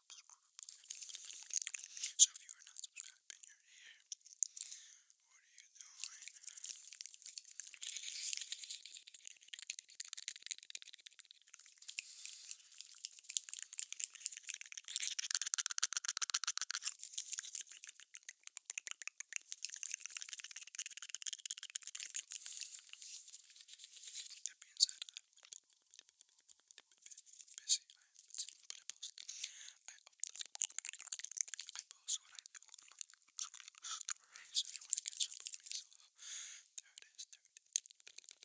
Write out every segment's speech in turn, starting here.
So if you are not subscribed and you're here, what are you doing? That being said, busy. I am busy, but I post. I, I post what I do on my story, so if you want to catch up with me, so there it is, there it is. There it is.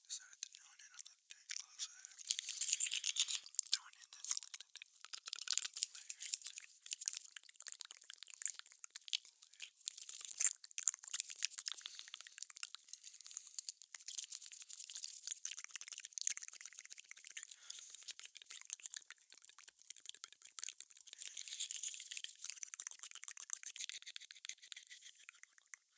decided to join in. I looked at it closer. Join in this Layer.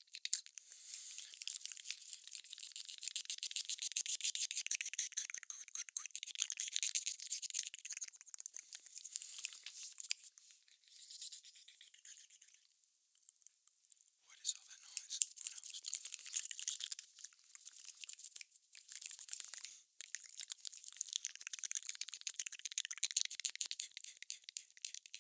What is all that noise? Who knows? Kid, kid, kid, kid, kid, kid, kid,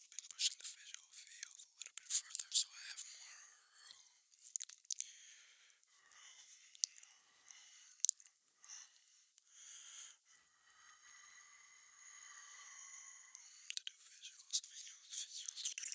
been pushing the visual field a little bit further so I have more room. To do visuals, visuals, visuals.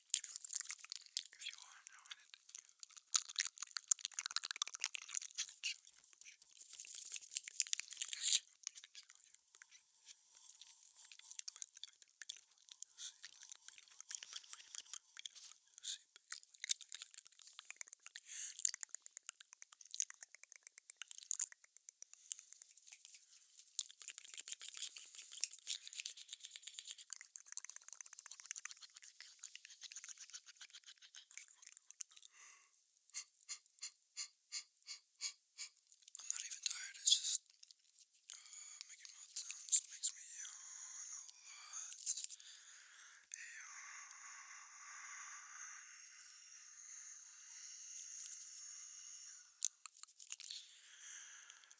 If you are, I'm ruining it. You can show your bush. You can show your bush. But like beautiful, you see, like beautiful, beautiful, beautiful, beautiful, you see, like, like, like. I'm not even tired, it's just uh, making mouth sounds makes me yawn a lot. Yawn.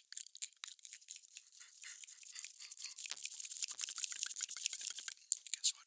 Guess what? Guess what?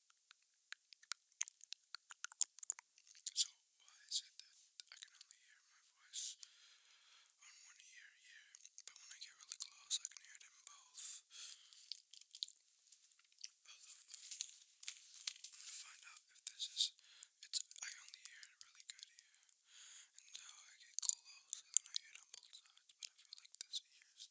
So, why is it that I can only hear my voice on one ear here, but when I get really close, I can hear it in both? I love I'm gonna find out if this is. It's. I only hear it really good here, and now I get close, and then I hear it on both sides. But I feel like this ear is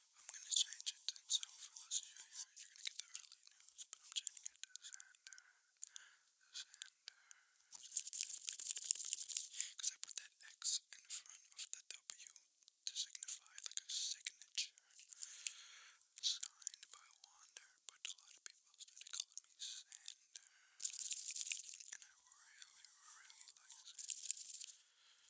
I'm gonna change it then, so for those of you are gonna get the early news, but I'm changing it to Xander, Xander, because I put that X in front of the W to signify like a signature signed by Wander, but a lot of people started calling me Xander, and I really, really like Xander.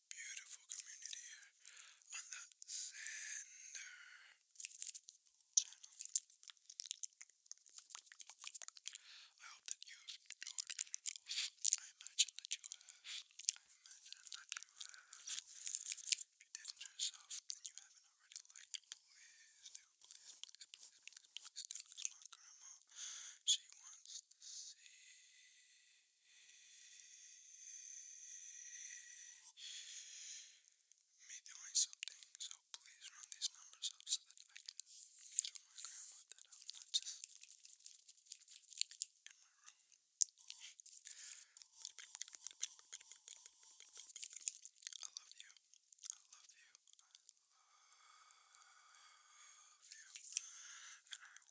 beautiful community here on the Sander channel. I hope that you have enjoyed yourself. I imagine that you have. I imagine that you have. If you did enjoy yourself and you haven't already liked it, please do, please, please, please, please, please do. Because my grandma, she wants to see me doing something, so please run these numbers up so that I can show my grandma that I'm not just in my room. I love you. I love you. I love you. And I